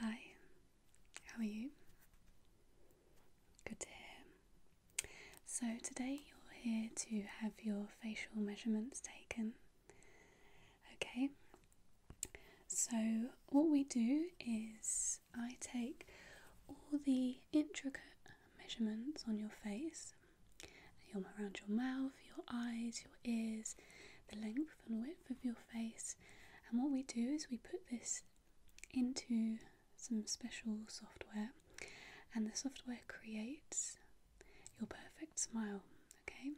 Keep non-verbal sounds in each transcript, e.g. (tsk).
Hi, how are you? Good to hear. So, today you're here to have your facial measurements taken. Okay, so what we do is I take all the intricate measurements on your face, around your mouth your eyes, your ears, the length and width of your face. And what we do is we put this into some special software, and the software creates your perfect smile. Okay,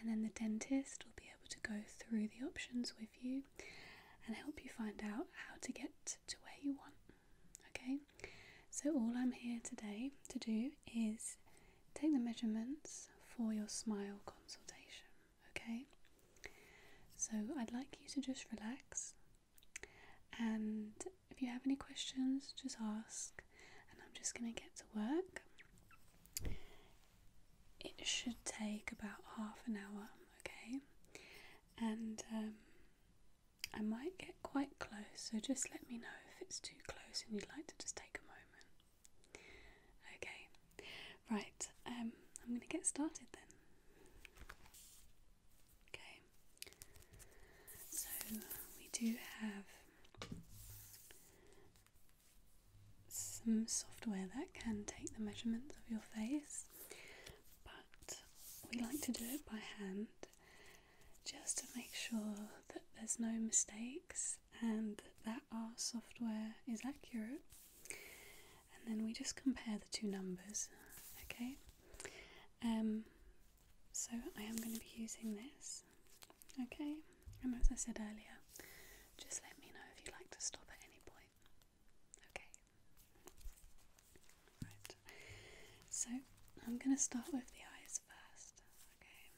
and then the dentist will be able to go through the options with you and help you find out how to get to where you want. Okay, so all I'm here today to do is take the measurements for your smile consultation, okay? So I'd like you to just relax and if you have any questions, just ask. And I'm just going to get to work. It should take about half an hour, okay? And um, I might get quite close, so just let me know if it's too close and you'd like to just take a moment. Okay, right, um, I'm going to get started then. Okay, so we do have some software that can take the measurements of your face, but we like to do it by hand just to make sure that there's no mistakes and that our software is accurate. And then we just compare the two numbers, okay? Um, so I am going to be using this, okay? And as I said earlier, just let me know if you'd like to stop at any point, okay? Right. So I'm going to start with the eyes first, okay?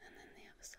And then the other side.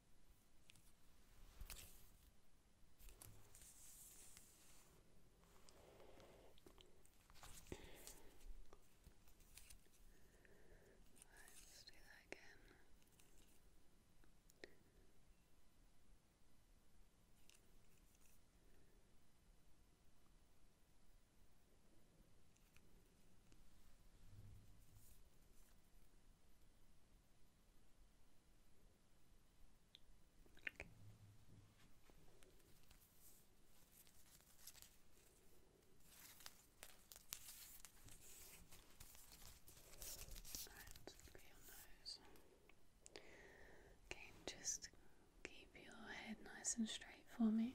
Let's do that again. Okay. just keep your head nice and straight for me.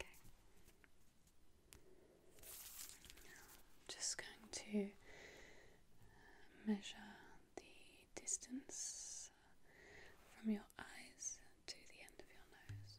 Okay. Now just going to measure the distance from your eyes to the end of your nose.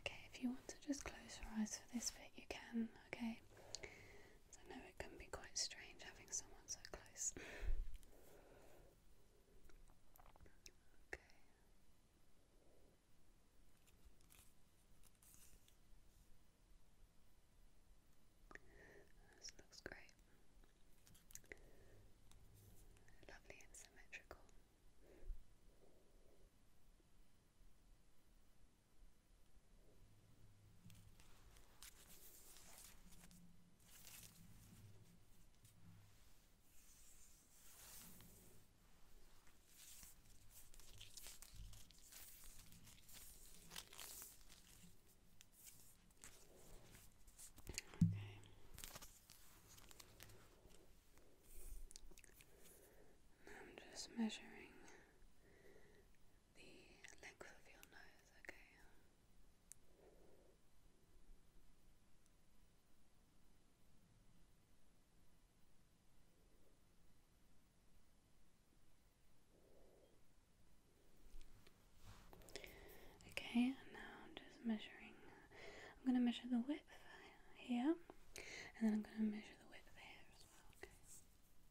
Okay, if you want to just close your eyes for this bit, you can, okay? I know it can be quite strange having someone so close. (laughs) This looks great. Lovely and symmetrical. Okay. I'm just measuring the length of your nose, okay? Okay, and now I'm just measuring. I'm going to measure the width here, and then I'm going to measure the width here as well. Okay.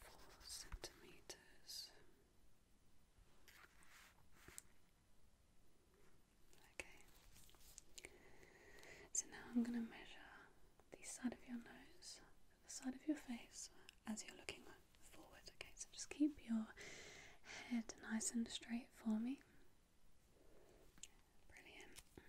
four centimeters. Okay. So now I'm going to measure the side of your nose the side of your face as you're looking forward. Okay, so just keep your head nice and straight for me. Brilliant. Okay.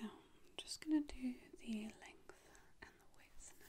Now I'm just going to do the length and the width now.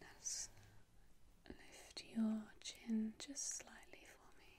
Let's lift your chin just slightly for me.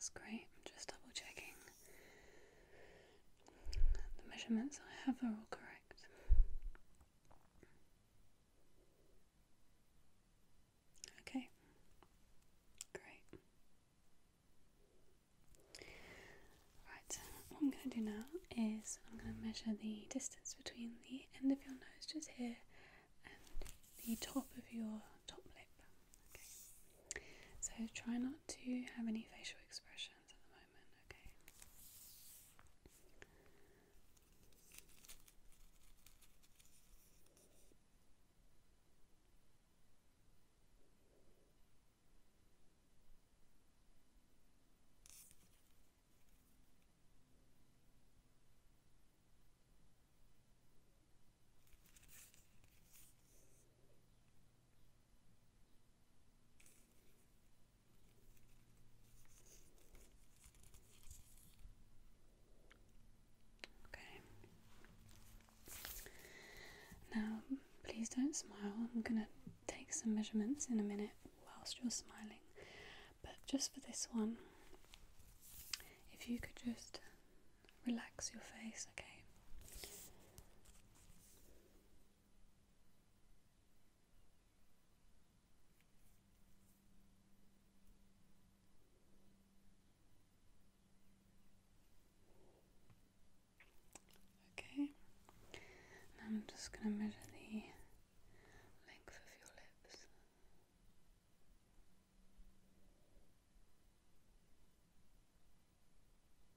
That's great. just double checking the measurements I have are all correct. Okay, great. Right, what I'm going to do now is I'm going to measure the distance between the end of your nose just here and the top of your top lip. Okay, so try not to have any facial expressions at the moment moment, okay? Okay, Okay. Now, please don't smile. I'm going to take some measurements in a minute whilst you're smiling. But just for this one, if you could just relax your face, okay? Okay, I'm just going to measure the length of your lips.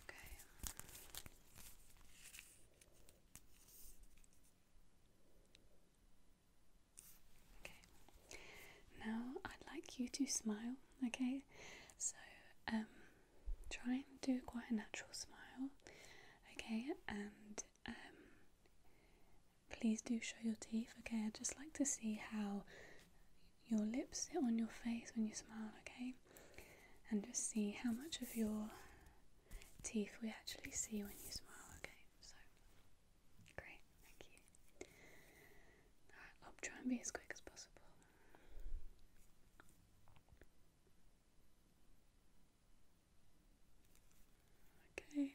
Okay. Okay. Now I'd like you to smile, okay? So, um try and do quite a natural smile, okay? And um please do show your teeth, okay? I'd just like to see how your lips sit on your face when you smile, okay? And just see how much of your teeth we actually see when you smile, okay? So, great, thank you. I'll try and be as quick as possible. Okay.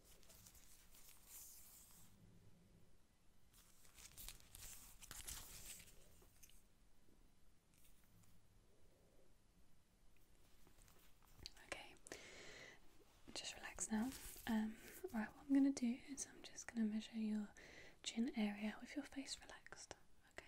Okay, just relax now. Um, right, what I'm going to do is I'm just going to measure your chin area with your face relaxed. Okay.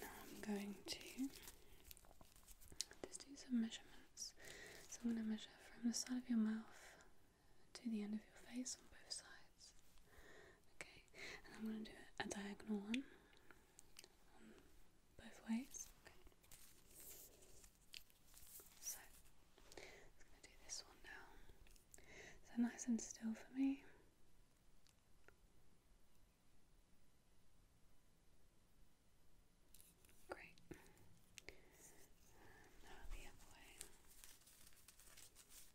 now I'm going to just do some measurements. So I'm going to measure from the side of your mouth to the end of your face on both sides. Okay, and I'm going to do a diagonal one both ways. So, going to do this one now. So, nice and still for me. Great. now the other way.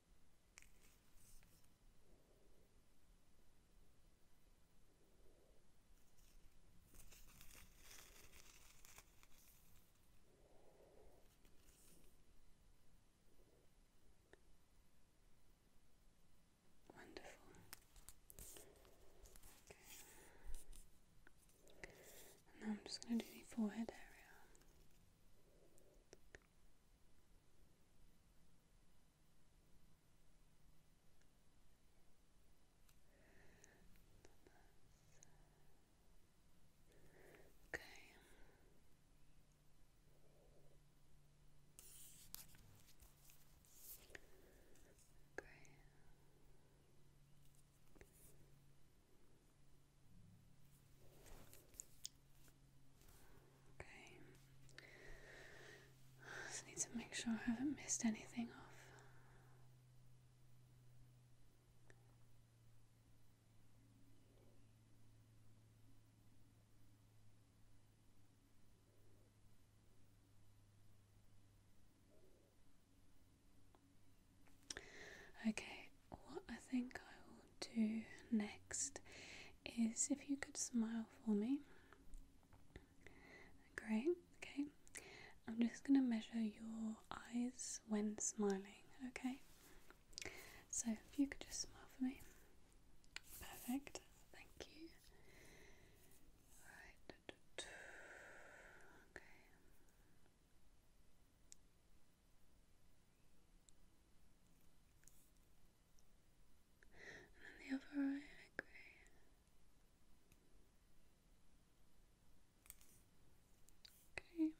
Wonderful. Okay now I'm just going to do the forehead area. Okay. Okay. Okay. I just need to make sure I haven't missed anything off. Okay, what I think I will do next is if you could smile for me. Great, okay. I'm just going to measure your eyes when smiling, okay? So if you could just smile for me. Perfect, thank you. Right. (tsk) Okay. And then the other eye, I Okay.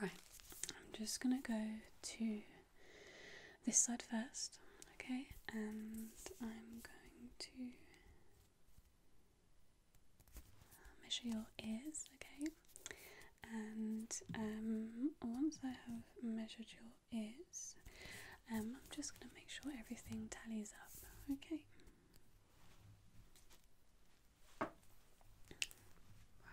Right, I'm just gonna go to this side first, okay, and I'm going to measure your ears, okay, and um, once I have measured your ears, um, I'm just gonna make sure everything tallies up, okay. Right there.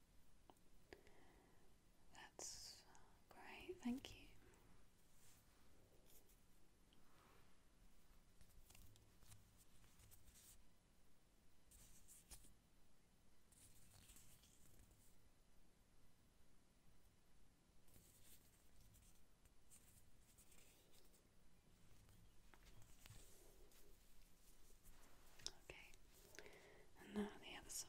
That's great, thank you. Okay, and now the other side.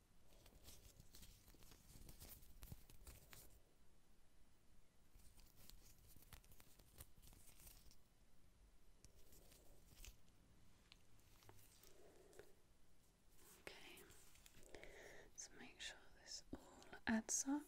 Okay, so make sure this all adds up.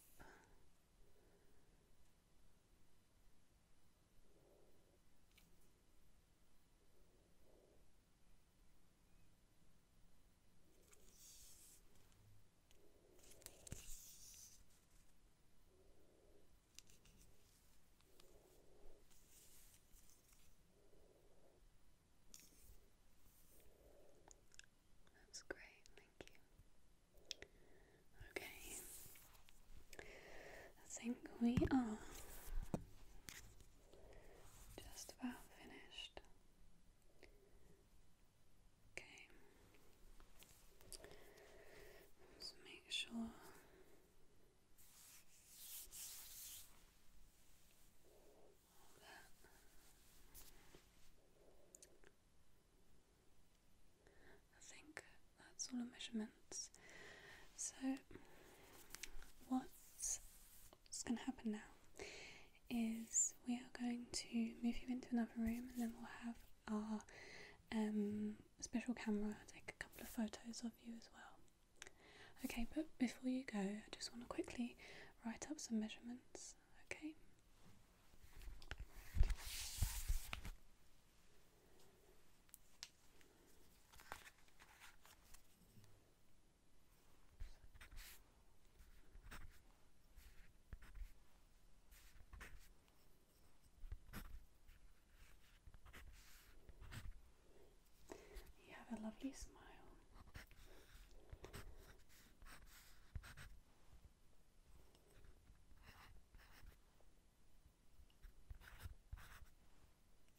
That's great, thank you. Okay, I think we are just about finished. Okay. Just make sure. I think that's all the measurements. So, what's going to happen now is we are going to move you into another room and then we'll have our um, special camera take a couple of photos of you as well. Okay, but before you go, I just want to quickly write up some measurements, okay? You have a lovely smile.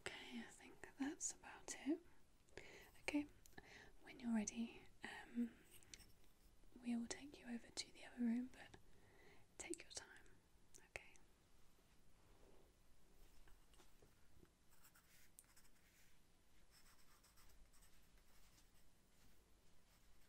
Okay, I think that's about it. Okay, when you're ready, um, we will take you over to the other room, but take your time. Okay.